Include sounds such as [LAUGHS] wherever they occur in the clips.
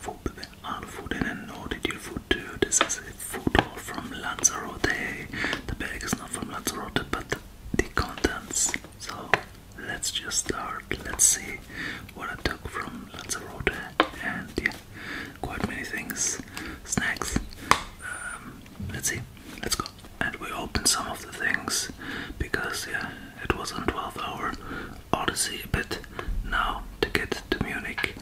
Food food and no did food too. This is a from Lanzarote. The bag is not from Lanzarote but the contents. So let's just start. Let's see what I took from Lanzarote and yeah, quite many things. Snacks. Um, let's see. Let's go. And we open some of the things because yeah, it was a 12 hour odyssey but now to get to Munich.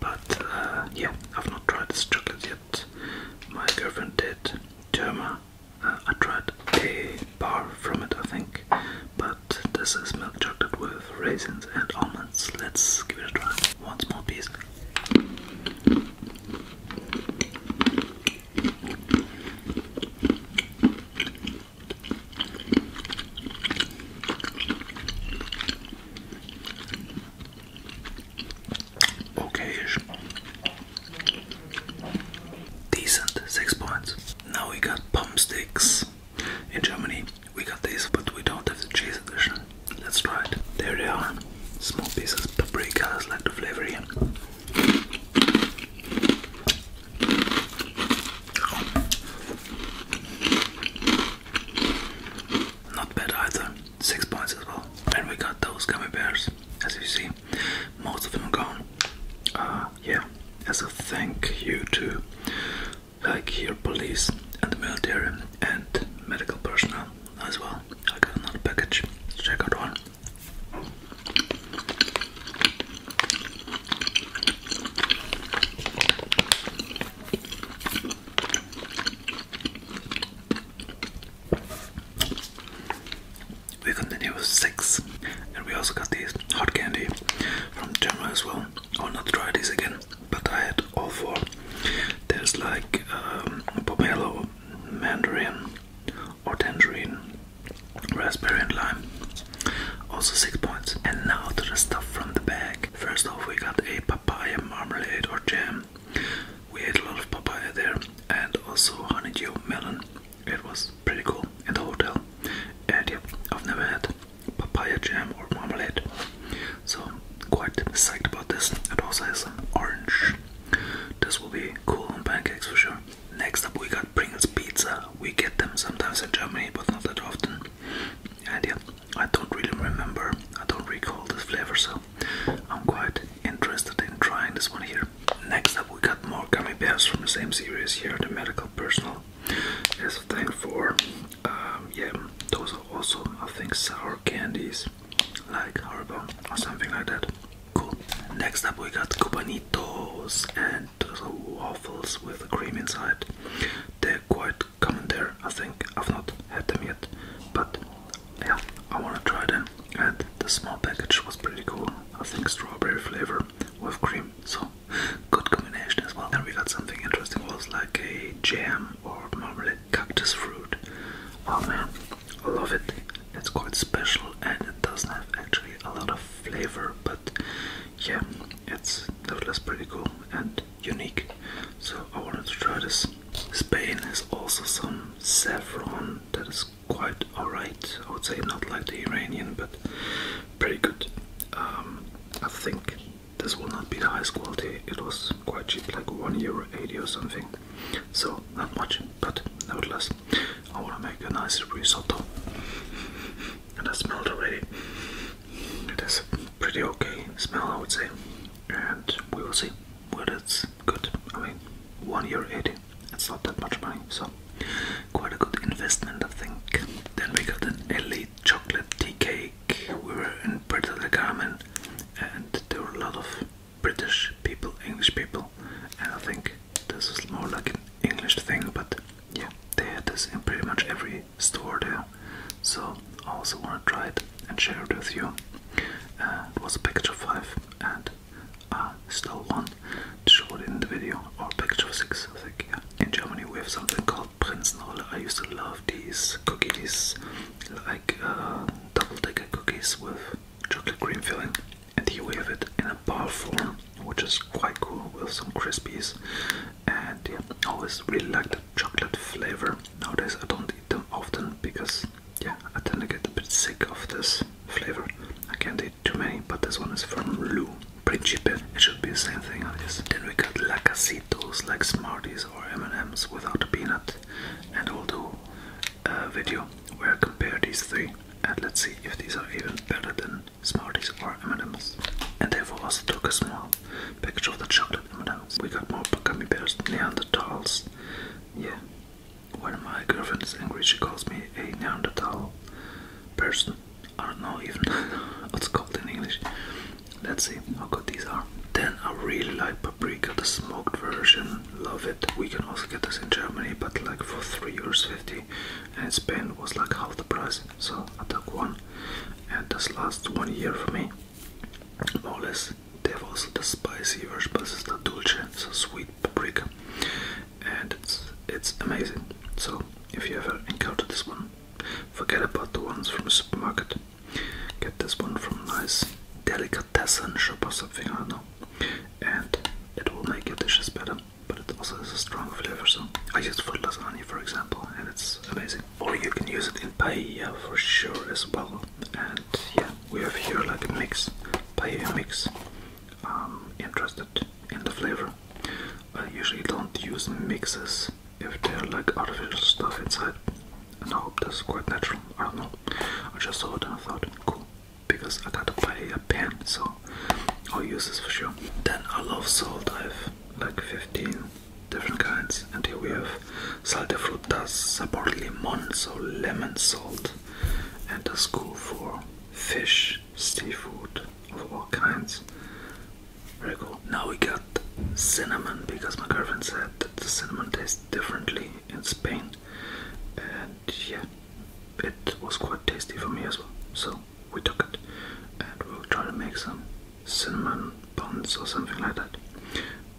But uh, yeah, I've not tried this chocolate yet. My girlfriend did. Germa. Uh, I tried a bar from it, I think. But this is milk chocolate with raisins and almonds. Let's give it a try. One small piece. Okay Decent, six points. Now we got pump sticks. In Germany we got these, but we don't have the cheese edition. Let's try it. There they are. Small pieces, paprika is like the flavor here. Not bad either, six points as well. And we got those gummy bears, as you see, most of them gone. Uh, yeah, as a thank you to like your police and the military and medical personnel as well. I got another package, check out one. We continue with six, and we also got these hot candy from Germany as well. I oh, will not try these again, but I had all four. There's like um, pomelo, mandarin, or tangerine, raspberry and lime. Also six points. And now to the stuff from the bag. First off we got a papaya marmalade or jam. We ate a lot of papaya there and also honeydew melon. It was pretty cool in the hotel. And yeah, I've never had papaya jam or marmalade. So quite psyched about this. It also has some orange. This will be cool on pancakes for sure. Next up, we got Pringles pizza. We get them sometimes in Germany, but not that often. And yeah, I don't really remember. I don't recall this flavor, so I'm quite interested in trying this one here. Next up, we got more gummy bears from the same series here. The medical personnel. is a thing for, um, yeah, those are also I think sour candies like horrible or something like that. Cool. Next up, we got cubanitos and waffles with cream inside. They're quite common there, I think. I've not had them yet, but yeah, I want to try them. And the small package was pretty cool. I think strawberry flavor with cream, so good combination as well. And we got something interesting, was like a jam or marmalade cactus fruit. Oh man, I love it. It's quite special and it doesn't have actually a lot of flavor, but yeah, it's nevertheless pretty cool and unique. So I wanted to try this. Spain has also some saffron that is quite alright. I would say not like the Iranian, but pretty good. Um, I think this will not be the highest quality. It was quite cheap, like one euro eighty or something so not much, but nevertheless, I want to make a nice risotto, and I smelled already. It has a pretty okay smell, I would say, and we will see whether it's good. I mean, one eighty, it's not that much money, so quite a good investment, I think. Then we got an elite chocolate tea cake. We were in Puerto del Carmen, and there were a lot of British people, English people, and I think this is more like an English thing, but yeah, they had this in pretty much every store there, so I also want to try it and share it with you. Uh, it was a package of five, and I stole one to show it in the video, or package of six, I think. Yeah. In Germany, we have something called Prinzenrolle. I used to love these cookies, like uh, double decker cookies with chocolate cream filling, and he waved it in a bar form, which is quite cool with some crispies. And yeah, always really like the chocolate flavor. Nowadays, I don't eat them often because yeah, I tend to get a bit sick of this flavor. I can't eat too many, but this one is from Lu Principe. Eh? It should be the same thing, I Then we got lacacitos like Smarties or M&M's without a peanut, and I'll do a video where I compare these three and let's see if these are even better than Smarties or M&M's. And therefore also took a small package of the chocolate M&M's. We got more gummy bears, Neanderthals. Yeah, when my girlfriend is angry, she calls me a Neanderthal person. I don't know even [LAUGHS] what's called in English. Let's see how good these are. Then I really like paprika, the smoked version. Love it. We can also get this in Germany, but like for three euros fifty, and Spain was like half the price. So I took one, and this lasts one year for me, more or less. They have also the spicy version, but this is the dulce, so sweet paprika, and it's it's amazing. So if you ever encounter this one, forget about the ones from the supermarket. Get this one from nice delicatessen shop or something, I don't know. And it will make your dishes better, but it also has a strong flavor. So I used for lasagna, for example, and it's amazing. Or you can use it in paella for sure as well. And yeah, we have here like a mix, paella mix. I'm um, interested in the flavor, I usually don't use mixes if they're like artificial stuff inside. And I hope that's quite natural. I don't know. I just saw it and I thought, cool. Because I gotta buy a pen, so I'll use this for sure. Then I love salt. I have like 15 different kinds. And here we have sal de frutas, sabor limon, so lemon salt. And a school for fish, seafood of all kinds. Very cool. Now we got cinnamon because my girlfriend said that the cinnamon tastes differently in Spain, and yeah, it was quite tasty for me as well. So we took it, and we'll try to make some cinnamon buns or something like that.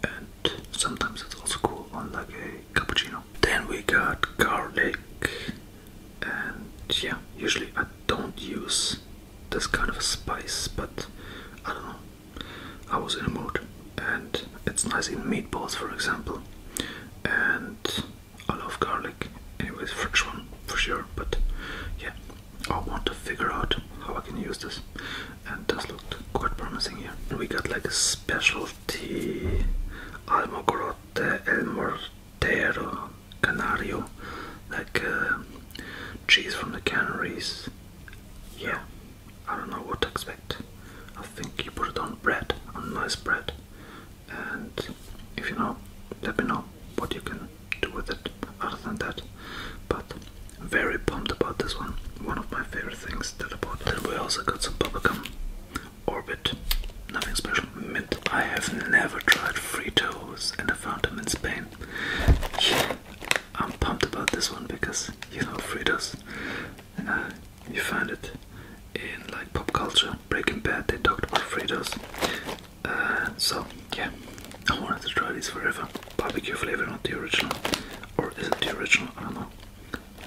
And sometimes it's also cool on like a cappuccino. Then we got garlic, and yeah, usually I don't use that's kind of a spice, but I don't know. I was in a mood, and it's nice in meatballs, for example. And I love garlic, anyways, fresh one for sure. But yeah, I want to figure out how I can use this, and this looked quite promising here. We got like a specialty almogorote, el morte tero canario, like uh, cheese from the Canaries. Yeah, I don't know what to expect. I think you put it on bread, on nice bread. And if you know, let me know what you can do with it other than that. But very pumped about this one. One of my favorite things that I bought. Then we also got some bubblegum. Orbit. Nothing special. Mint. I have never tried Fritos and I found them in Spain. I'm pumped about this one because you know Fritos. Uh, you find it in like pop culture. Breaking Bad, they talked about Fritos. Uh, so yeah, I wanted to try these forever. Barbecue flavor, not the original, or is it the original? I don't know.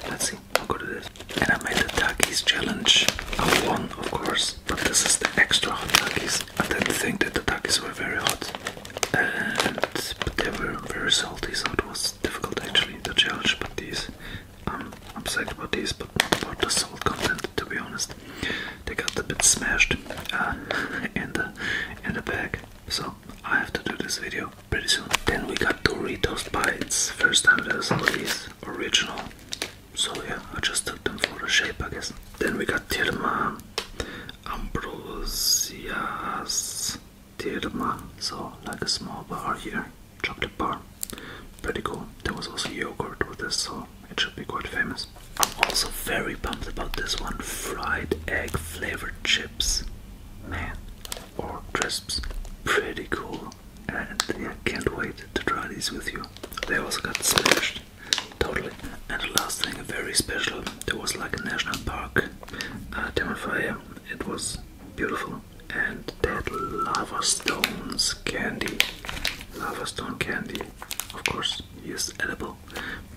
Let's see. I'll go to this. And I made the Takis challenge. I won, of course, but this is the extra hot Takis. I didn't think that the Takis were very hot, and but they were very salty, so it was difficult actually to challenge. But these, I'm upset about these, but about the salt content. To be honest, they got a bit smashed uh, [LAUGHS] in the in the bag. So I have to do this video pretty soon. Then we got Doritos bites. First time there's all these original. So yeah, I just took them for the shape, I guess. Then we got Tirma, Ambrosias Tirma. So like a small bar here, chocolate bar. Pretty cool. There was also yogurt with this, so it should be quite famous. I'm also very pumped about this one. Fried egg flavored chips. Man. Or crisps. Pretty cool and yeah, can't wait to try these with you. They also got smashed, totally. And the last thing, very special, there was like a national park uh, It was beautiful, and that lava stones candy, lava stone candy. Of course, is edible,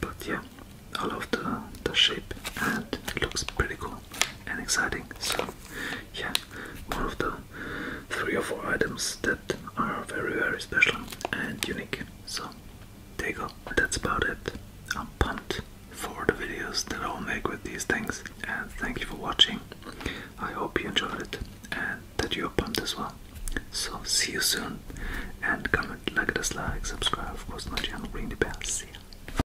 but yeah, I love the the shape and it looks pretty cool and exciting. So yeah, one of the three or four items that are very, very special and unique. So, there you go. That's about it. I'm pumped for the videos that I'll make with these things. And thank you for watching. I hope you enjoyed it and that you're pumped as well. So, see you soon. And comment, like, dislike, subscribe, of course, my channel, ring the bell. See ya.